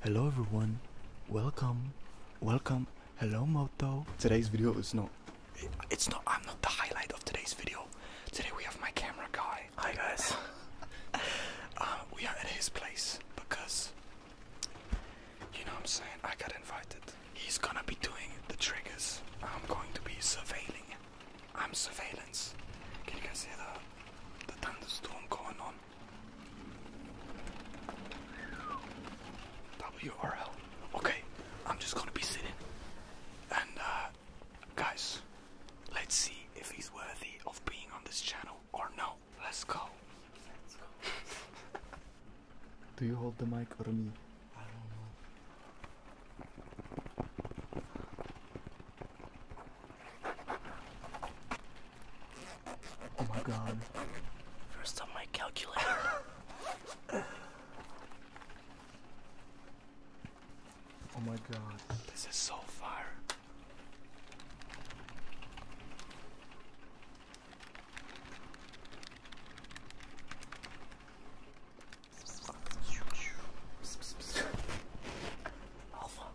Hello everyone, welcome, welcome, hello Moto. Today's video is not, it's not, I'm not the highlight of today's video. Today we have my camera guy. Hi guys. Uh, we are at his place because, you know what I'm saying, I got invited. He's gonna be doing the triggers. I'm going to be surveilling. I'm surveillance. Can you guys hear the thunderstorm going on? WRL. Okay, I'm just gonna be sitting. And, uh, guys, let's see if he's worthy of being on this channel or no. Let's go. Do you hold the mic or me? I don't know. Oh my god. First on my calculator. oh my god. This is so fire.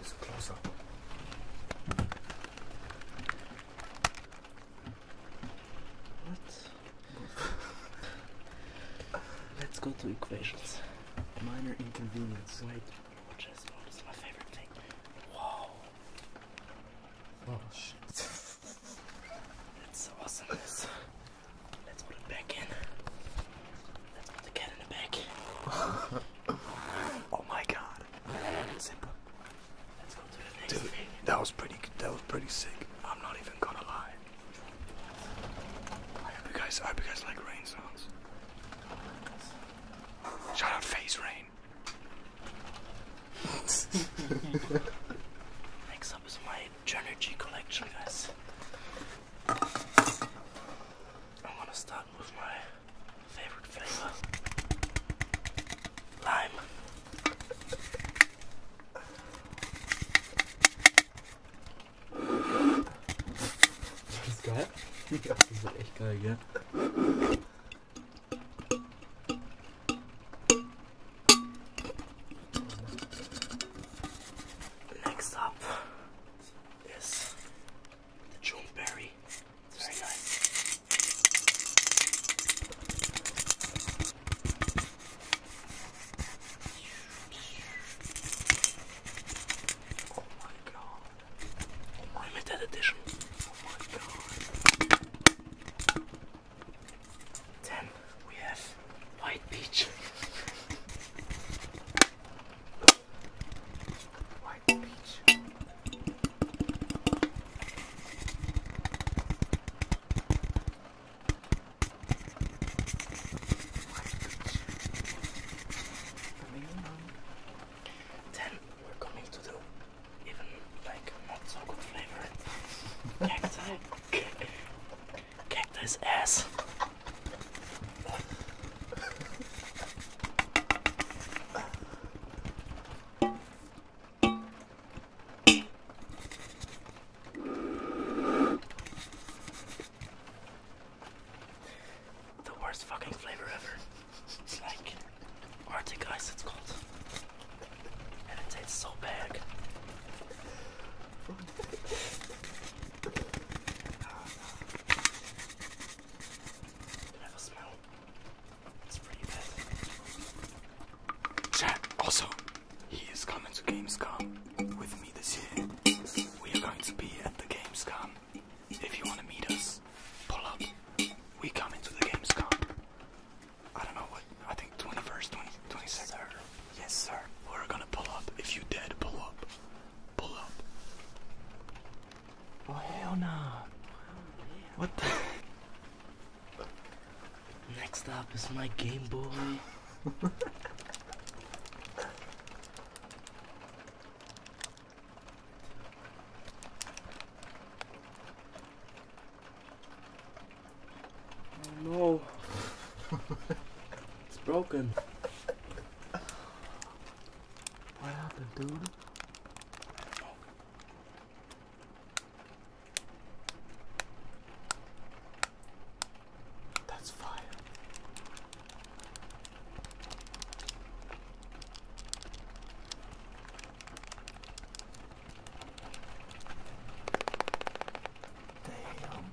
It's closer. What? Let's go to equations. Minor inconvenience. Wait, watch this. What is my favorite thing? Wow. Oh shit. That's awesome. Let's put it back in. Let's put the cat in the back. Oh my god. Dude, That was pretty that was pretty sick. I'm not even gonna lie. I hope you guys I hope you guys like rain sounds. Shout face rain. Next up is my Genergy collection guys. I'm to start was my favorite flavor. Lime. Das ist geil. Ja, das ist echt geil, gell? Next up is the June berry. Very nice. Oh my god. Limited edition. Oh my god. Then we have white peach. White peach. White coming to do even like not so good flavor. Cacti. Cactus ass. The worst fucking flavor ever. It's like Arctic ice, it's cold And it tastes so bad. Can also, he is coming to Gamescom with me this year. We are going to be at the Gamescom. If you want to meet us, pull up. We come into the Gamescom. I don't know what, I think 21st, 22nd. Yes, sir. We're gonna pull up. If you dead, pull up. Oh hell no! What the Next stop is my Game Boy. Oh no. it's broken. What happened, dude? That's fire. Damn.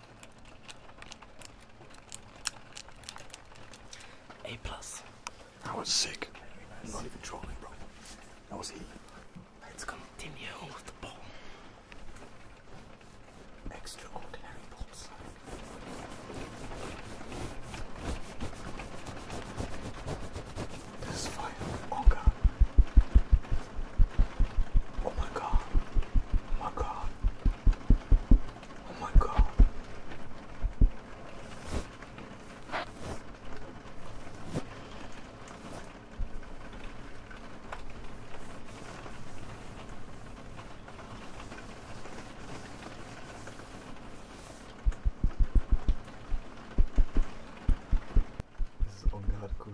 A plus. That was sick. not even trolling, bro. That was he. Let's continue with the ball. Extraordinary balls. This is fire. Oh god. Oh my god. Oh my god. Oh my god. This is on guard cool.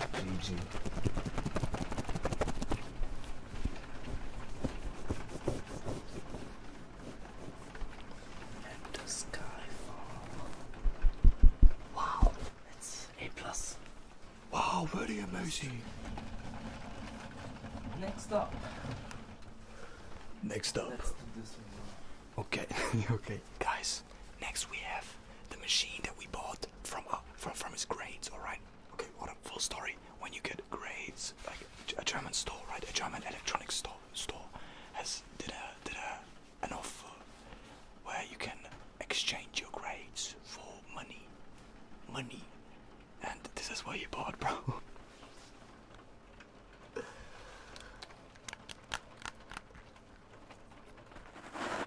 GG. And the Wow, it's A plus. Wow, very amazing. Next up. Next up. Okay, okay, guys. Next we have the machine that we bought from uh, from from his grades. All right. Okay, what a full story. When you get grades, like a German store, right? A German electronics store store has did a did a an offer where you can exchange your grades for money, money, and this is where you bought, bro.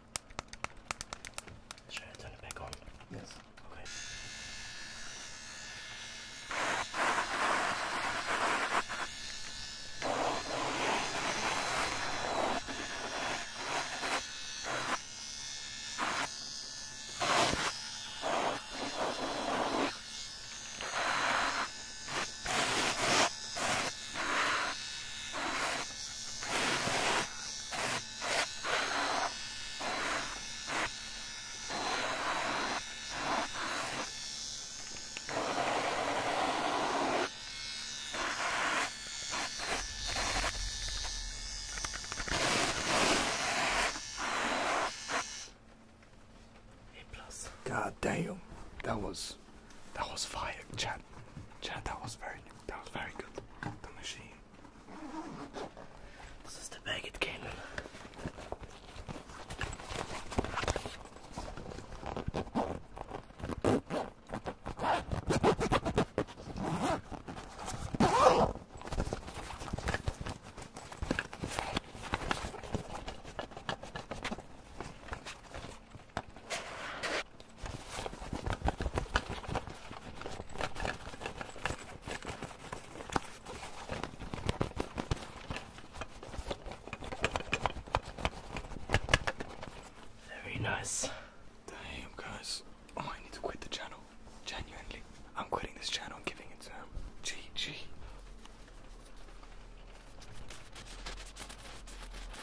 Should I turn it back on? Yes. Okay. God damn, that was that was fire, Chad. Yeah, that was very that was very good. The machine. This is the bag it came in. Very nice. Damn, guys. Oh, I need to quit the channel. Genuinely. I'm quitting this channel and giving it to him. GG.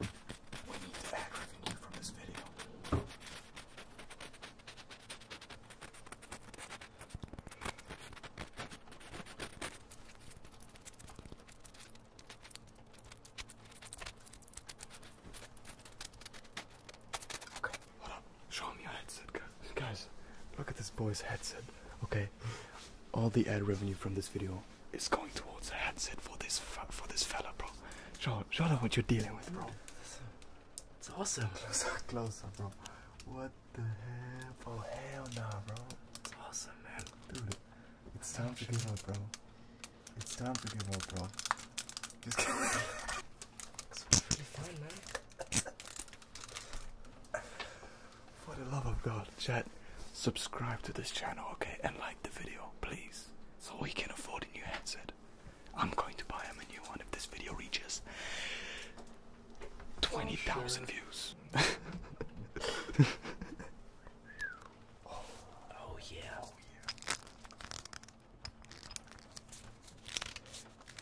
We need to add revenue from this video. Okay, hold up. Show me your headset, guys. Guys, look at this boy's headset. Okay, all the ad revenue from this video is going towards a headset for this for this fella, bro. Show show what you're dealing with, bro. It's awesome. Closer, closer, bro. What the hell? Oh hell nah, bro. It's awesome, man. Dude, it's time to give up, bro. It's time to give up, bro. Just kidding. it's really fun, man. For the love of God, Chad, subscribe to this channel, okay? And like the video, please. So we can afford a new headset. I'm going to buy him a new one if this video reaches 20,000 views. oh yeah. Oh,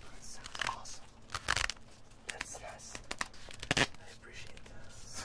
That sounds awesome. That's nice. I appreciate this.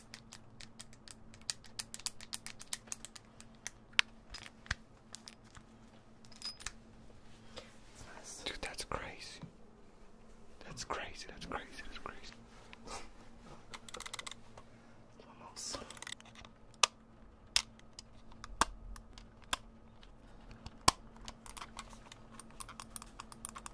Dude, that's crazy. That's crazy, that's crazy, that's crazy. Vamos.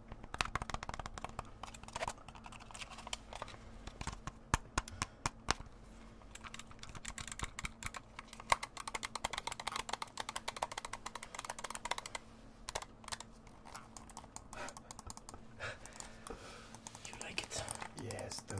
you like it? Yes, dude.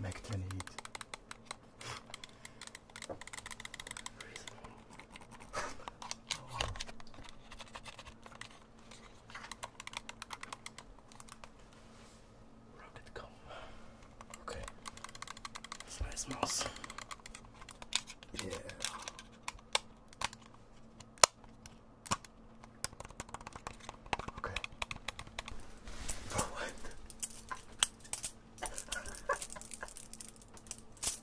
Mac 28. Rocket comb. Okay. That's nice mouse. Yeah. Okay. For what?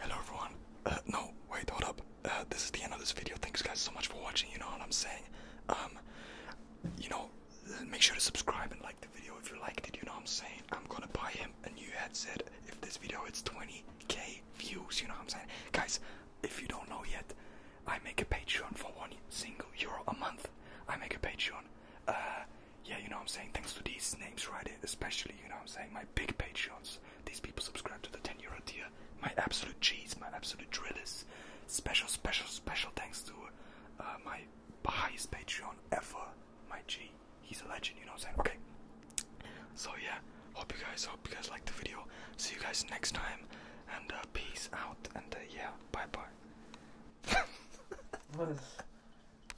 Hello everyone. Uh, no, wait, hold up. Uh, this is the end of this video. Thanks guys so much for watching. You know what I'm saying? Um, you know, make sure to subscribe and like the video if you liked it. You know what I'm saying? I'm gonna buy him a new headset if this video hits 20k views. You know what I'm saying, guys? If you don't know yet, I make a Patreon for one single euro a month. I make a Patreon. Uh, yeah, you know I'm saying, thanks to these names right here, especially, you know I'm saying, my big patrons. these people subscribe to the 10 euro tier, my absolute cheese, my absolute drillers, special, special, special thanks to uh, my highest Patreon ever, my G, he's a legend, you know what I'm saying, okay, so yeah, hope you guys, hope you guys liked the video, see you guys next time, and uh, peace out, and uh, yeah, bye bye.